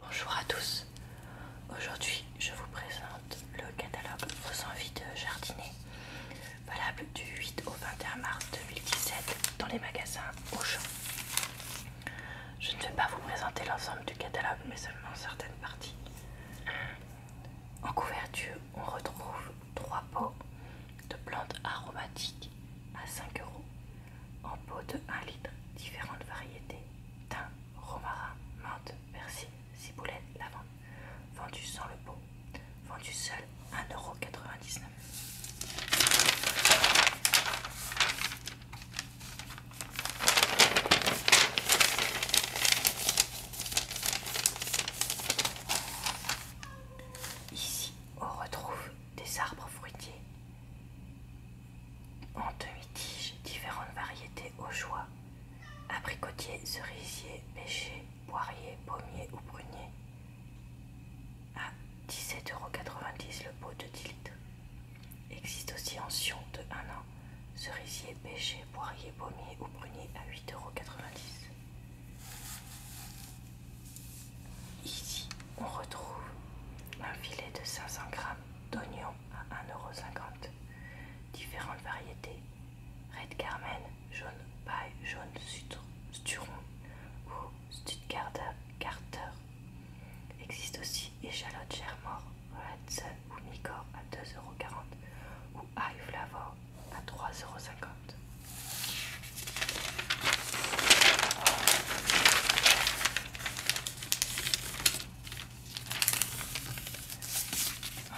Bonjour à tous, aujourd'hui je vous présente le catalogue Vos envies de jardiner, valable du 8 au 21 mars 2017 dans les magasins Auchan. Je ne vais pas vous présenter l'ensemble du catalogue mais seulement certaines parties. En couverture, on retrouve trois pots de plantes aromatiques à 5 euros en pot de 1 litre, différentes variétés thym, romarin, menthe, persil, ciboulette, lavande, vendu sans le pot, vendu seul 1,99€. Ici, on retrouve des arbres fruitiers en demi-tige, différentes variétés au choix abricotier, cerisier, pêcher, poirier, pommier ou prunier. À 17,90€ le pot de 10 litres. Existe aussi en Sion de 1 an, cerisier, pêcher, poirier, pommier ou prunier à 8,90€. Ici, on retrouve un filet de 500 grammes. D'oignon à 1,50€. Différentes variétés Red Carmen, jaune paille, jaune sturon ou Stuttgarter Carter. Existe aussi échalote Red Sun ou Micor à 2,40€ ou High Flavor à 3,50€.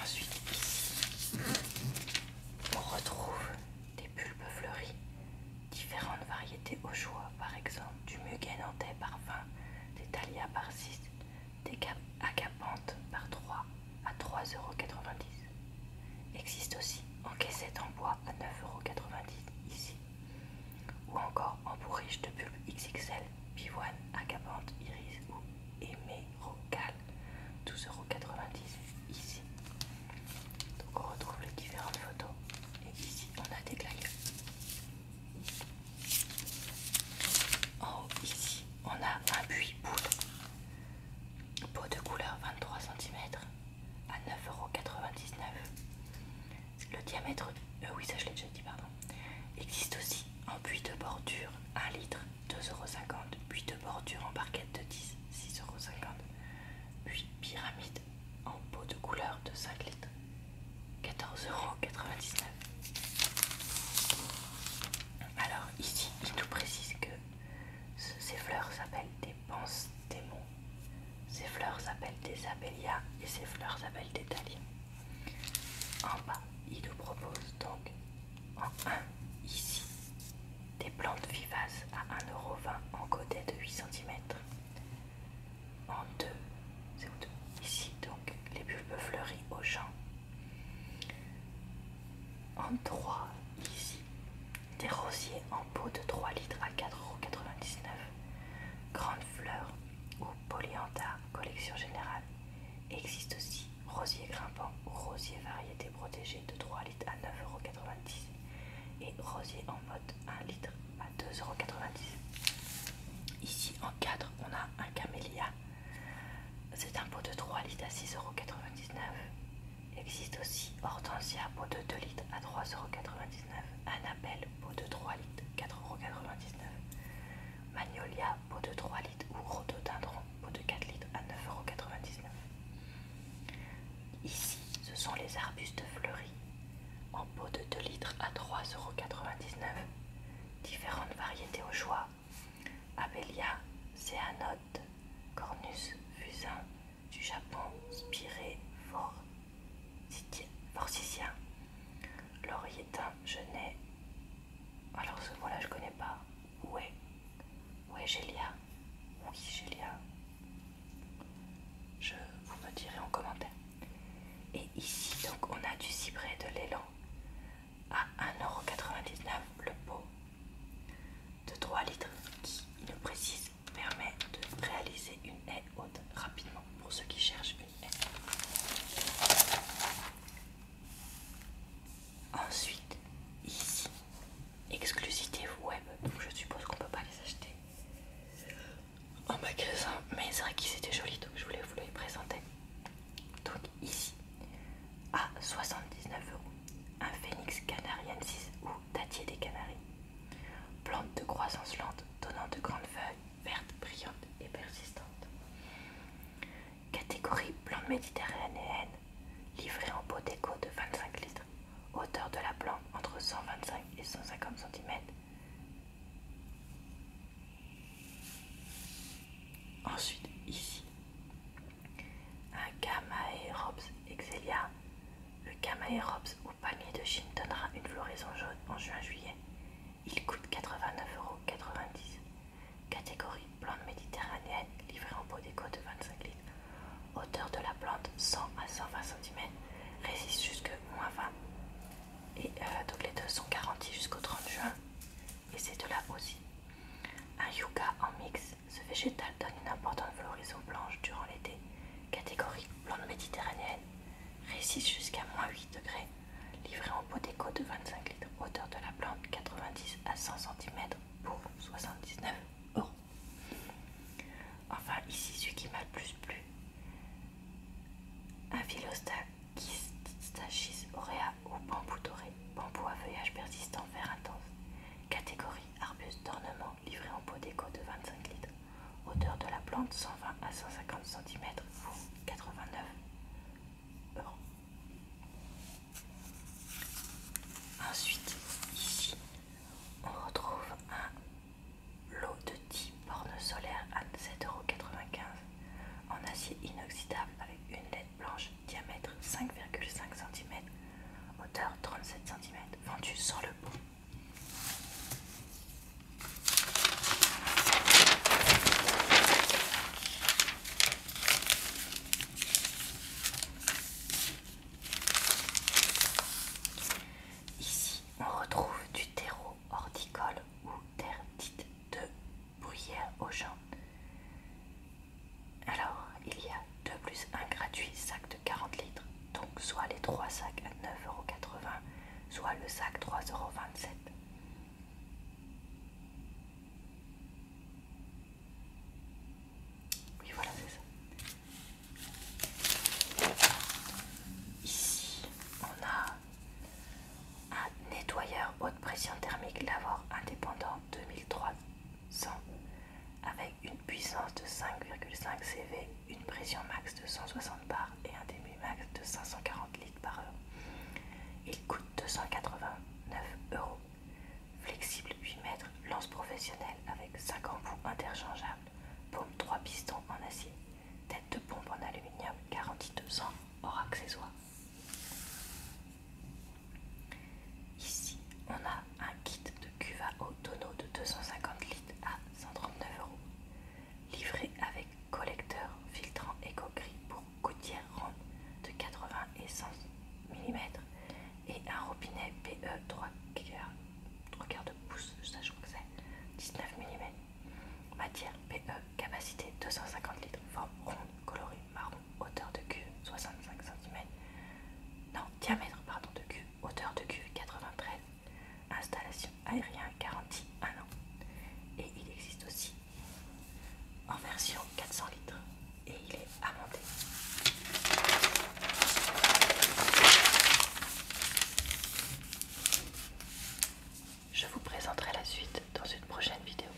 Ensuite, on retrouve des pulpes fleuries, différentes variétés au choix, par exemple du muguet nantais par 20, des thalia par 6, des agapantes par 3 à 3,90€. Existe aussi en caissette en bois à 9,90€ ici ou encore en pourriche de pulpe XXL, pivoine, agapante, iris ou Rocal 12,90€ ici. Donc on retrouve les différentes photos et ici on a des glaques. En haut ici on a un buis boule, Peau de couleur 23 cm à 9,99€. Le diamètre, euh, oui ça je l'ai déjà dit, pardon. Existe aussi en puits de bordure 1 litre 2,50€, puits de bordure en barquette de 10 6,50€, puis pyramide en pot de couleur de 5 litres 14,99€. Alors ici il nous précise que ces fleurs s'appellent des penses démons ces fleurs s'appellent des abélias et ces fleurs s'appellent des dahlias. En bas, il nous propose donc en 1 ici des plantes vivaces à 1,20€ en godet de 8 cm. En 2, c'est ici donc les bulbes fleuries au champ. En 3, ici des rosiers en pot de 3 litres à 4,99€, Grande Fleur ou polyantha collection générale. Existe aussi rosier grimpant ou rosier variété protégée de 3 litres à 9,90€ et rosier en mode 1 litre à 2,90€. Ici en 4, on a un camélia. C'est un pot de 3 litres à 6,99€. Existe aussi Hortensia pot de 2 litres à 3,99€, Annabelle pot de 3 litres 4,99€, Magnolia pot de 3 litres ou Rhododendron, peau de 4 litres à 9,99€. Ici, ce sont les arbustes fleuris en pot de 2 litres à 3,99€. Différentes variétés au choix Abelia, Céanote, Cornus, Fusain, du Japon spiré forticien. je jeunet Alors ce mot-là, je connais pas. Ouais. Ouais, Gélia. Oui, Gélia. Je vous me direz en commentaire. Et ici, donc, on a du cyprès de l'élan à 1,99€ le pot de 3 litres qui ne précise permet de réaliser une haie haute rapidement pour ceux qui cherchent une haie. Ensuite, ici, exclusité web, donc je suppose qu'on peut pas les acheter en magasin, mais c'est vrai qu'ils étaient jolis donc je voulais vous les présenter. Donc ici, à 79 euros un phénix canariensis ou datier des Canaries. Plante de croissance lente, donnant de grandes feuilles, vertes, brillantes et persistantes. Catégorie plante méditerranéenne, livrée en pot déco de 25 litres. Hauteur de la plante entre 125 et 150 cm. Ensuite, ici, un Robs Exelia Le Robs au panier de Chine donnera une floraison jaune en juin-juillet. Il coûte 89,90 euros. Catégorie plante méditerranéenne livrée en pot déco de 25 litres. Hauteur de la plante 100 à 120 cm. Résiste jusque moins 20. Et euh, donc les deux sont garantis jusqu'au 30 juin. Et c'est de là aussi. Un yucca en mix ce végétal donne une importante floraison blanche durant l'été, catégorie plante méditerranéenne, résiste jusqu'à moins 8 degrés, livré en pot d'écho de 25 litres, hauteur de la plante 90 à 100 cm pour 79 euros. Enfin, ici, celui qui m'a le plus plu, un Stachys aurea ou bambou doré, bambou à feuillage persistant vert intense, catégorie arbuste d'ornement livré en pot déco de 25 litres. Hauteur de la plante 120 à 150 cm, 89 euros. Ensuite, ici, on retrouve un lot de 10 bornes solaires à euros, en acier inoxydable avec une lettre blanche, diamètre 5,5 cm, hauteur 37 cm, vendu sur le pont. Ici, on retrouve du terreau horticole ou terre dite de bruyère aux gens. Alors, il y a 2 plus 1 gratuit sac de 40 litres, donc soit les 3 sacs à 9,80€, soit le sac 3,27€. Oui, voilà, c'est ça. Ici, on a un nettoyeur haute pression thermique lavoir indépendant 2003 100 avec une puissance de 5,5 CV, une pression max de 160 bars et un débit max de 540 litres par heure. Il coûte 289 euros. Flexible 8 mètres, lance professionnelle avec 5 embouts interchangeables, pompe 3 pistons en acier, tête de pompe en aluminium, garantie 2 ans hors accessoires. Ici, on a un kit de cuva au tonneau de 250 litres à 139 euros, livré avec collecteur filtrant éco-gris pour gouttière ronde de 80 et 100 mm et un robinet PE 3 quarts, de pouce, je crois que c'est 19 mm. Matière PE, capacité 250 litres, forme ronde, colorée marron hauteur de queue 65 cm, non, diamètre pardon de queue, hauteur de queue 93, installation aérienne garantie 1 an. Et il existe aussi en version 400 litres et il est à monter Je vous présenterai la suite dans une prochaine vidéo.